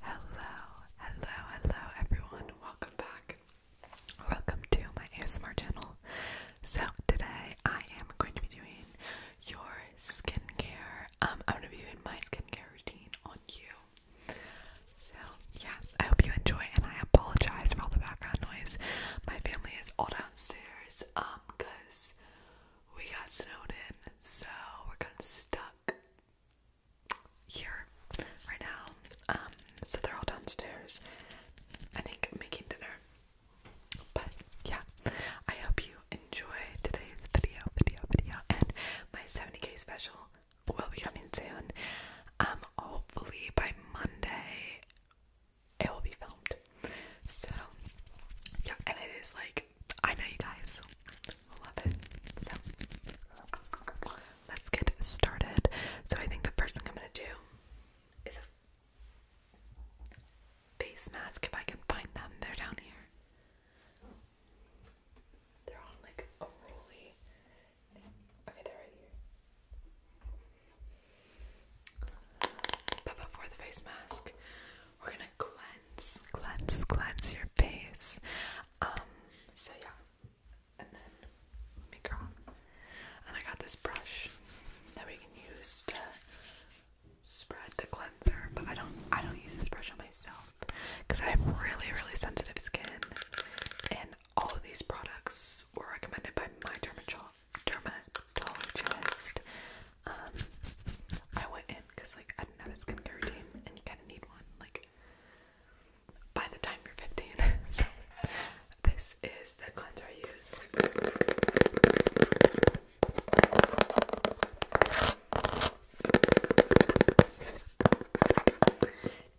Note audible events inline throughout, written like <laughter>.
Hello, hello, hello everyone. Welcome back. Welcome to my ASMR channel. So today I am going to be doing your skincare. Um, I'm gonna be doing my skincare routine on you. So yeah, I hope you enjoy and I apologize for all the background noise. My family is all downstairs, because um, we got snowed in, so we're kind of stuck here right now. Um, so they're all downstairs, I think, making dinner. But yeah, I hope you enjoy today's video, video, video, and my 70k special will be coming soon. Um, hopefully by Monday it will be filmed. So yeah, and it is like I know you guys love it. So let's get started. So I think the first thing I'm gonna do is a face mask if I can find them. They're down here. They're on like a rolly. Okay, they're right here. But before the face mask, we're gonna cleanse, cleanse, cleanse your face. Um, so yeah. And then let me go. And I got this brush that we can use to spread the cleanser, but I don't I don't use this brush on myself because I have really, really sensitive skin and all of these products were recommended by my dermatologist. Um, I went in because like I didn't have a skincare routine, and you kind of need one like by the time you're 15. <laughs> so this is the cleanser I use.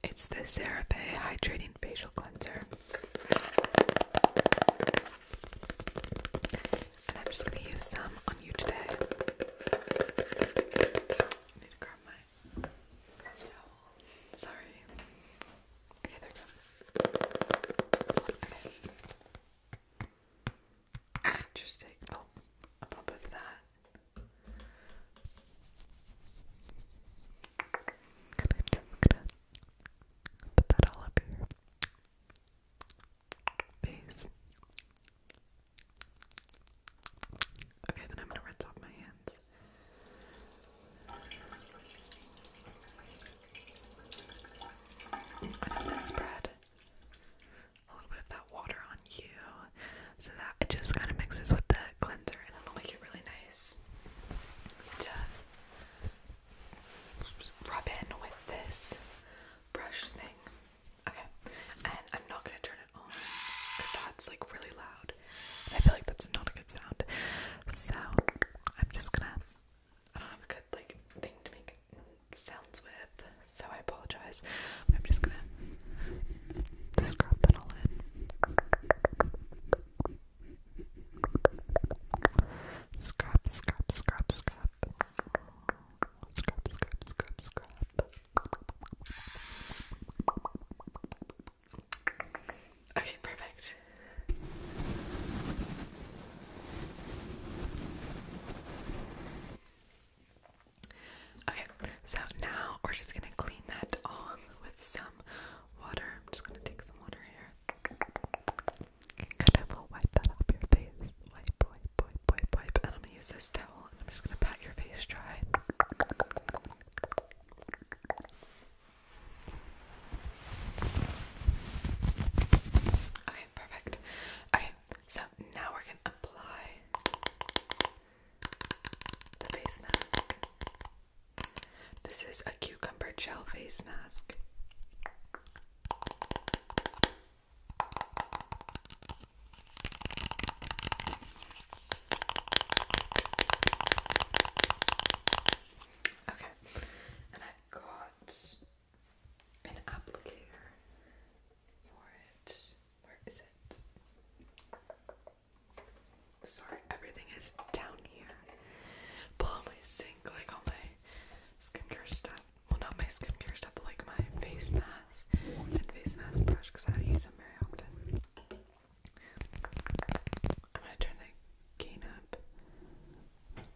It's the CeraVe Hydrating Facial Cleanser and I'm just gonna use some on you today. need to grab my towel. Sorry. Just take a pop of that. And I'm just gonna put that all up here. Okay, then I'm gonna rinse off my hands. I'm gonna spread a little bit of that water on you so that it just kind of mixes with the cleanser and it'll make it really nice to rub in with this brush thing. Okay, and I'm not gonna turn it on because that's like really loud. And I feel like that's not a good sound. So I'm just gonna. I don't have a good like thing to make sounds with, so I apologize. But I'm just gonna scrub that all in. Scrub, scrub, scrub, scrub. Okay, perfect. Okay, so now we're just gonna clean that on with some water. I'm just gonna take some water here. Good, I will wipe that off your face. Wipe, wipe, wipe, wipe, And I'm gonna use this towel and I'm just gonna pat your face dry. perfect. Okay, so now we're gonna apply the face mask. This is a cucumber gel face mask. Okay, and I've got an applicator for it. Where is it? Sorry, everything is down here. Below my sink, like on my skincare stuff. Well, not my skincare stuff, but like my face mask and face mask brush because I don't use them very often. I'm gonna turn the gain up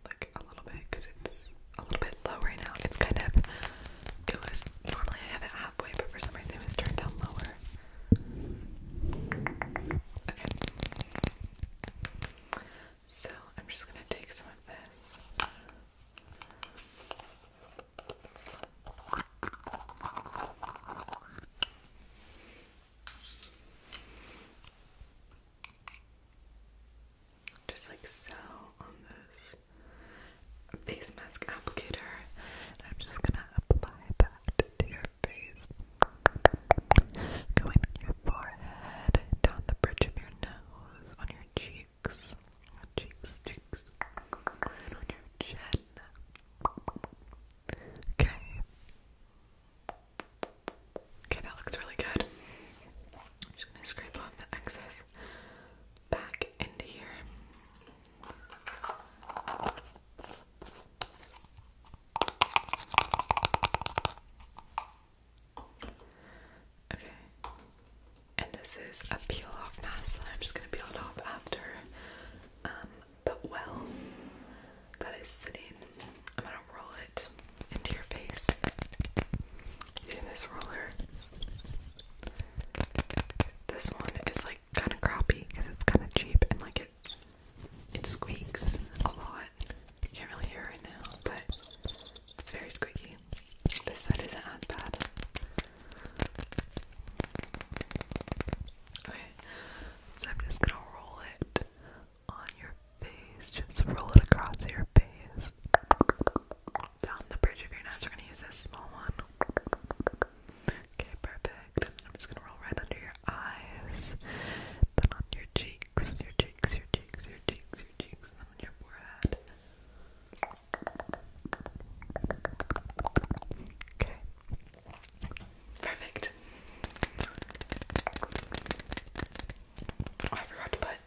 like a little bit because it's a little bit low right now. It's kind of it was normally I have it halfway, but for some reason it was turned down lower. Okay. So I'm just going to take some of this. Just like so on this base mask applicator, and I'm just gonna apply that to your going on your forehead, down the bridge of your nose, on your cheeks, cheeks, cheeks, and on your chin. Okay. Okay, that looks really good. I'm just gonna scrape off the excess back into here. Okay. And this is a peel off mask that I'm just gonna peel it off after. Um, but well, that is sitting. I'm gonna roll it into your face using this roller. This one is like kind of crappy because it's kind of cheap and like it it squeaks a lot. You can't really hear it now, but it's very squeaky. This side isn't as bad. Okay, so I'm just gonna roll it on your face. Just roll it across your face. Down the bridge of your nose. We're gonna use this small one. Okay, perfect. I'm just gonna roll right under your eyes, then on your cheeks, your cheeks, your cheeks, your cheeks, your cheeks, and then on your forehead. Okay. Perfect. Oh, I forgot to put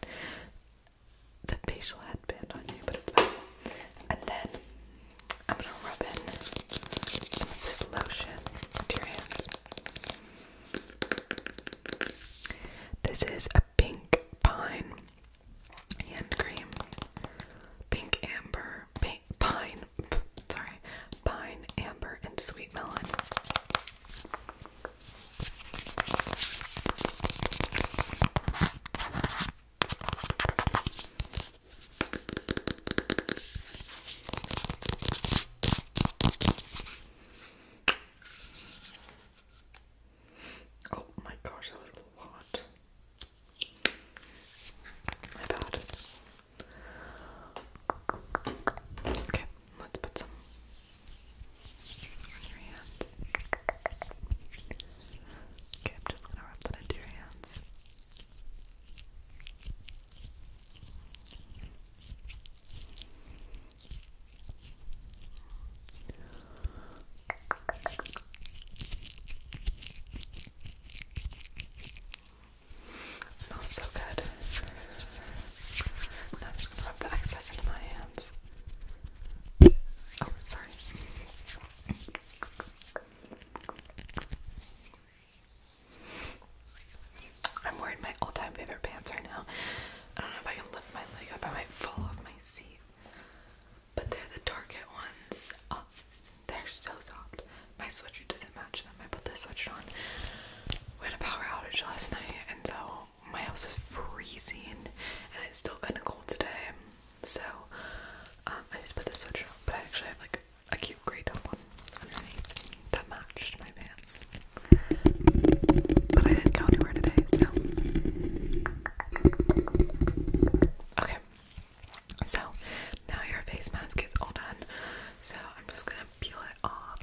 the facial headband on you, but it's fine. And then I'm gonna rub in some of this lotion to your hands. This is a pink pine hand cream. Pink amber, pink pine, sorry, pine, amber, and sweet melon. Oh my gosh, that was a lot. My bad. Okay, let's put some Okay, I'm just gonna rub that into your hands. It smells so good. Now I'm just gonna rub the excess into my hands. Oh, sorry. I'm wearing my all-time favorite pants right now. I don't know if I can lift my leg up. I might fall off my seat. But they're the Target ones. Oh, they're so soft. My sweatshirt doesn't match them. I put this sweatshirt on. We had a power outage last night, and so my house was freezing, and it's still kind of cold today. So um, I just put this sweatshirt on. But I actually have like a cute grey one underneath that matched my pants. But I didn't go anywhere today, so. Okay, so now your face mask is all done. So I'm just gonna peel it off.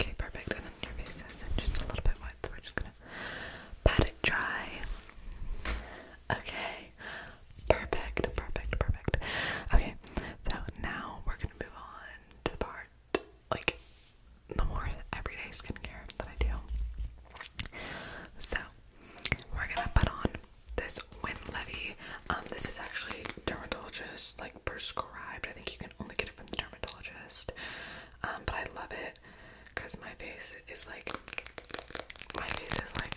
Okay, perfect. And then your face is just a little bit wet, so we're just gonna pat it dry. Okay, perfect, perfect, perfect. Okay, so now we're gonna move on to the part like the more everyday skincare that I do. So we're gonna put on this Win Levy. Um, this is actually dermatologist like prescribed. I think you can only get it from the dermatologist. Um, but I love it because my face is like my face is like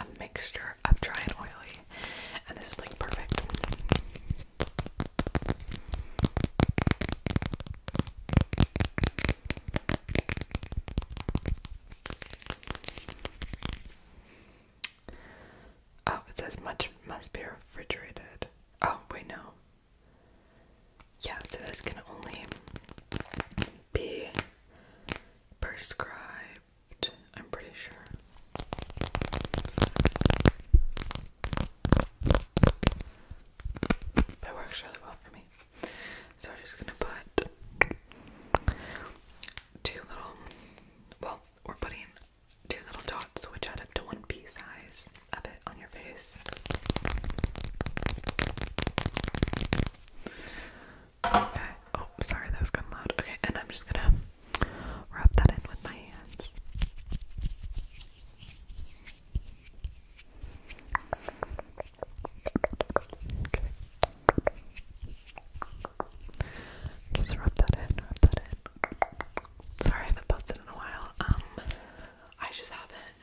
a mixture of dry and oily and this is like perfect Oh, it says much must be refrigerated. Oh, we know. Yeah, so this can only be prescribed, I'm pretty sure. It works really well for me. So I'm just gonna put two little, well, we're putting two little dots which add up to one pea size of it on your face. Okay. Oh, sorry, that was kind of Okay, and I'm just gonna rub that in with my hands. Okay. Just rub that in, rub that in. Sorry, I haven't posted in a while. Um, I just haven't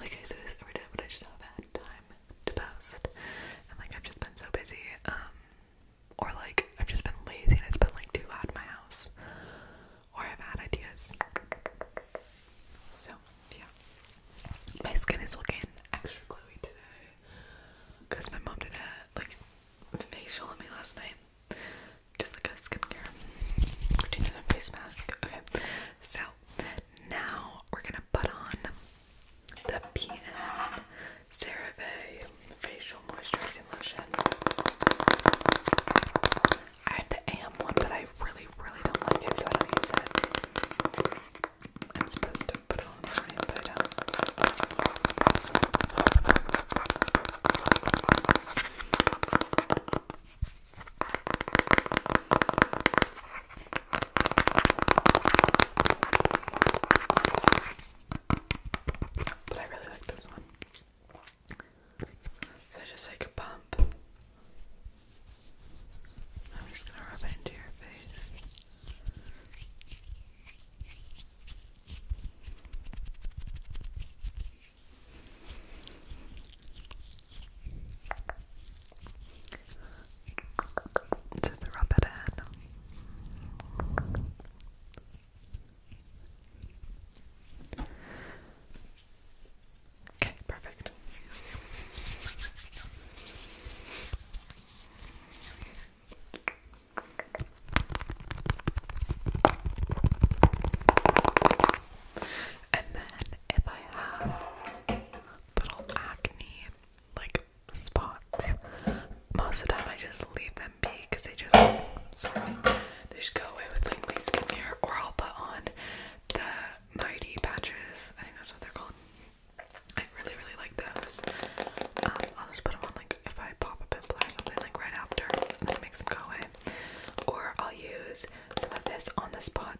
like I say this every day, but I just haven't had time to post, and like I've just been so busy, um, or like I've just been lazy and it's been like too loud in my house, or I've had ideas. So yeah, my skin is looking extra glowy today because my mom did that like facial on me last night, just like a skincare routine and a face mask. Okay. So now we're gonna put on the PM CeraVe Facial Moisturizing Lotion. I have the AM one, but I really, really don't like it, so I don't use it. I'm supposed to put on, but I um, put but I really like this one. So just take a pump. I'm just gonna rub it into your face. To rub it in. Okay, perfect. And then if I have little acne like spots, most of the time I just leave them be because they just they just go away with Langley skincare, or I'll put on the mighty patches. I think that's what they're called. I really really like those. Um, I'll just put them on like if I pop a pimple or something like right after, and then it makes them go away. Or I'll use some of this on the spot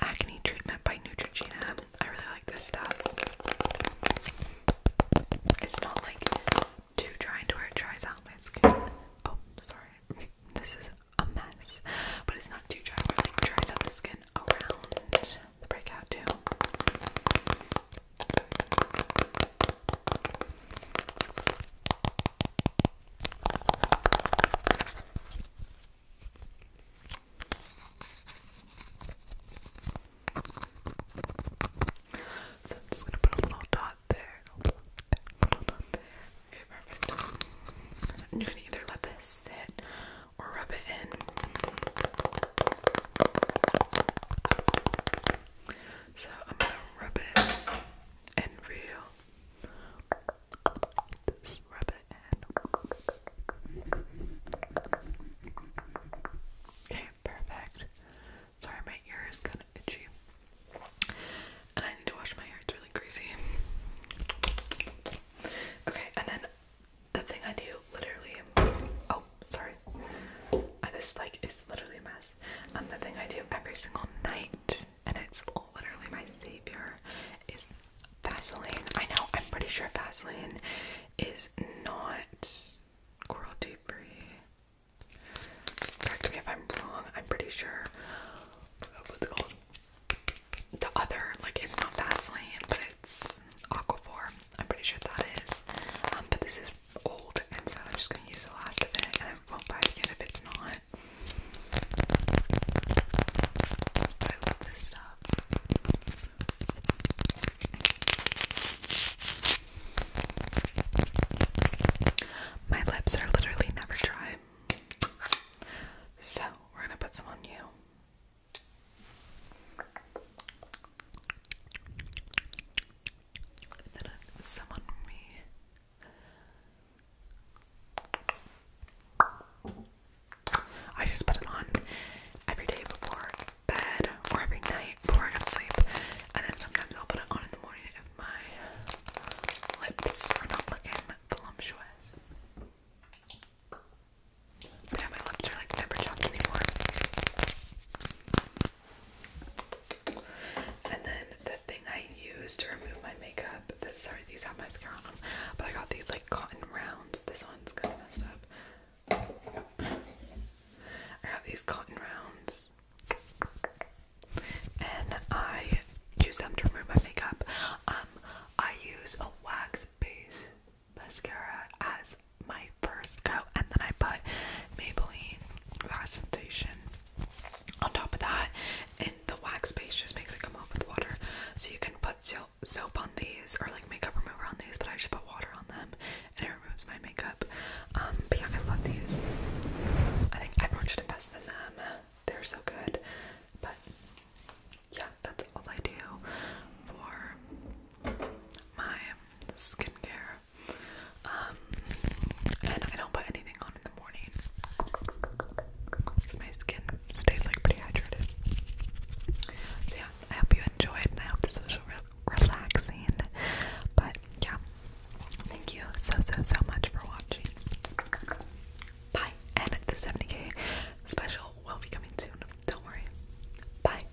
acne treatment by Neutrogena. I really like this stuff. It's not like too drying to where it dries out my skin. Oh, sorry. <laughs> this is a mess. But it's not too dry where it like dries out the skin around the breakout too. So I'm just gonna put a little dot there, Okay, perfect. you can either let this sit or rub it in. So I'm gonna rub it and real. Just rub it in. Okay, perfect. Sorry, my ear is kind of itchy. And I need to wash my hair, it's really greasy. Okay, and then the thing I do literally. Oh, sorry. I just like literally a mess. Um, the thing I do every single night, and it's literally my savior, is Vaseline. I know, I'm pretty sure Vaseline is not cruelty free. Correct me if I'm wrong, I'm pretty sure. What's called? The other, like, it's not Vaseline, but it's Aquaphor. I'm pretty sure that is. Um, but this is old, and so I'm just going to use the last of it, and I won't buy it again if it's not. I love this stuff. My lips are literally never dry. So, we're going to put some on you then uh, someone re I just put it on every day before bed or every night before I go to sleep and then sometimes I'll put it on in the morning if my lips are not looking voluptuous. But my lips are like never chopped anymore. And then the thing I use to remove my makeup, sorry, these have mascara on them, but I got these like cotton rounds. This one's kind of messed up. I got these cotton rounds. And I use them to remove my makeup. Um, I use a wax base mascara as my first coat, and then I put Maybelline Lash Sensation on top of that. And the wax base just makes it come off with water, so you can put soap on these or like makeup remover on these. But I just put water on them, and it removes my makeup. Um, but yeah, I love these. I think everyone should invest in them. They're so good. But yeah, that's all I do for my skincare. Um, and I don't put anything on in the morning because my skin stays like pretty hydrated. So yeah, I hope you enjoyed, and I hope this was re relaxing. But yeah, thank you so so so much for watching. Bye, and the 70k special will be coming soon. Don't worry. Bye.